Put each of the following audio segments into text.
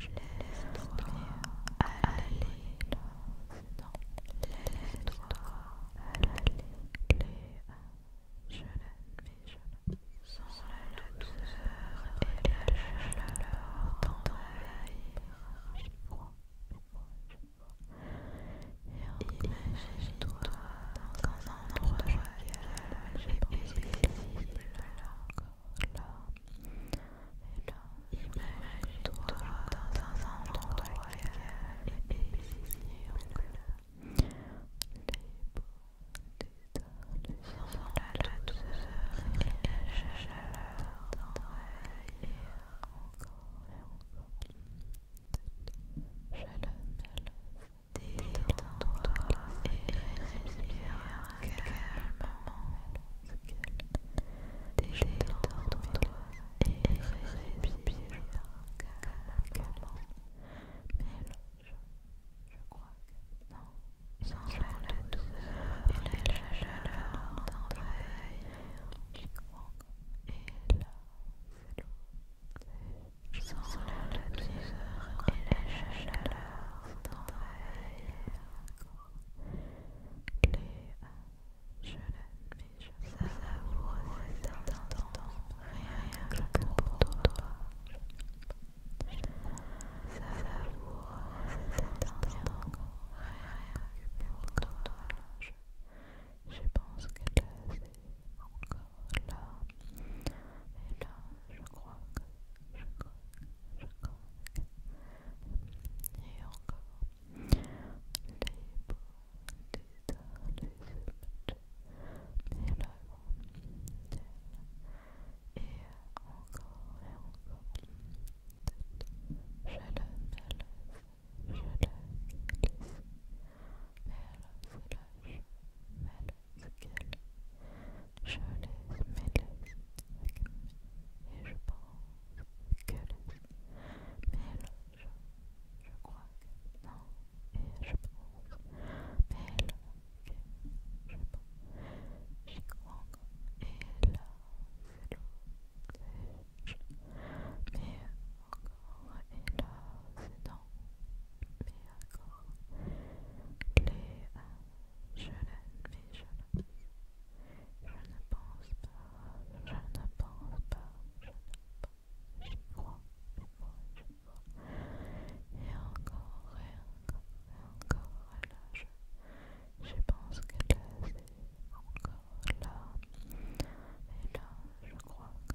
Laisse-toi aller Je Laisse-toi aller Je je Sans la douceur et la chaleur J'y toi dans dans un endroit royal, j'ai posé ici, là, encore là. Et là, imagine-toi dans un endroit royal et ici, encore là. Les beaux détails sont la douceur et la chaleur d'envahir encore et encore. Je le mets Détends-toi et respire calmement. Détends-toi et respire calmement. Mais je crois que non. Sans la douceur et la chaleur t'envahir. Et là, sans la douceur et la chaleur je l'admets, je rien que pour toi. Ça savoure cet instant, rien que pour toi. Je pense que encore là, et là, je crois que, je crois je crois et encore, les beaux et encore, et je le je le Malzgeld. Je laisse mes laisses et je pense que les mélanges. Je crois que non et je pense mélange. Je pense. J'y crois encore et là c'est l'eau. Mais encore et là c'est mais encore les euh, je je mais je je ne pense pas, je ne pense pas, je ne pense, j'y crois, je crois, je crois, et encore, et encore, et encore, et là je, je pense qu'elle est encore là, et là je crois que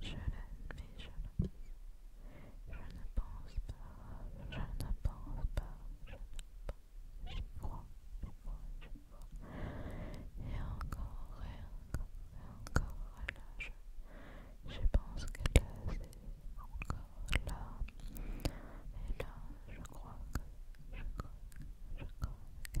Je l'admets, je le Je ne pense pas, je ne pense pas, je ne pense J'y crois, j'y crois, j'y crois. Et encore, et encore, et encore, et là, je, pense que là, c'est encore là. Et là, je crois que, je crois, je crois que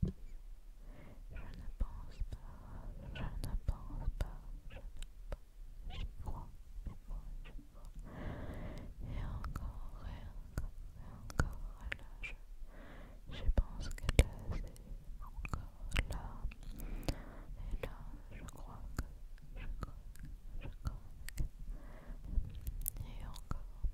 Je ne pense pas, je ne pense pas, je ne pense pas, crois, je crois. Et encore, et encore, et encore, là je, pense qu'elle est encore là. Et là je crois que, je crois je crois que, et encore,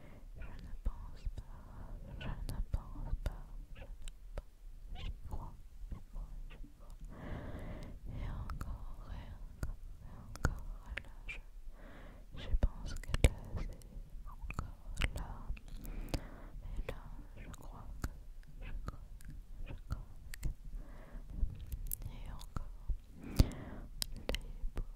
Je ne pense pas, je ne pense pas, je ne pense J'y crois, j'y crois, j'y crois. Et encore, et encore, et encore, là, je, pense qu'elle là, encore là. Et là, je crois que, je crois que, je crois que. Et encore, les beaux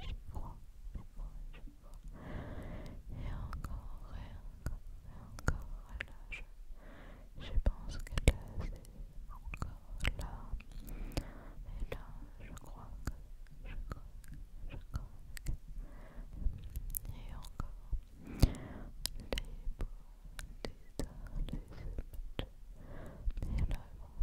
j'y crois, j'y crois, j'y crois Et encore, et encore, et encore, et là, je, pense que là, c'est encore là. Et là, je crois que, je crois je crois que. Et encore, les beaux, les arts, les images, et là l'œuvre,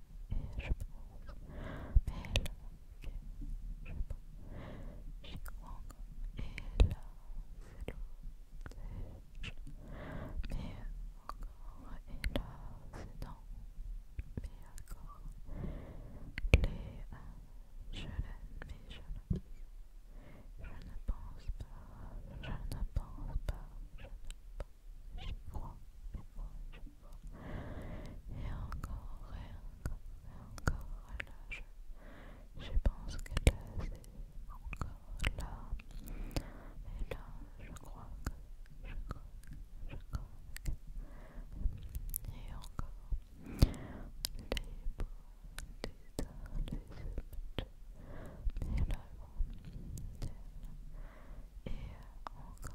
je pense. Mais là, je pense. Chikwang est là, c'est l'autre. Mais encore est là, c'est dans. Mais encore. Les je l'aime, mais je l'aime. Je ne pense pas, je ne pense pas, je ne pense pas. crois, et encore et encore et encore et là je, pense que là c'est encore là et là je crois que je crois je crois que et encore les beaux détails les images et là et encore et encore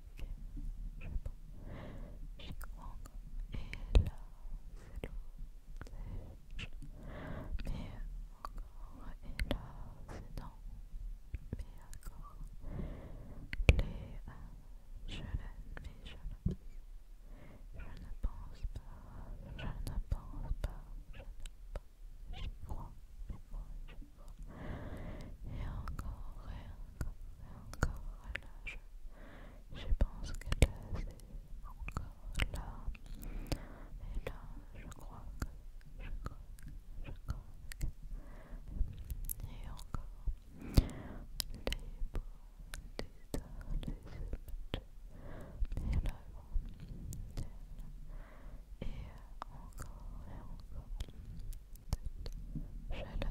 je encore et là c'est mais encore et là c'est mais encore je mais je ne je ne pense pas je ne pense pas je ne pense Et encore, encore, et encore là, je, pense que là c'est encore là, et là je crois que, je crois que, je crois que, et encore, les beaux des les images, et là, et encore et encore, je la mets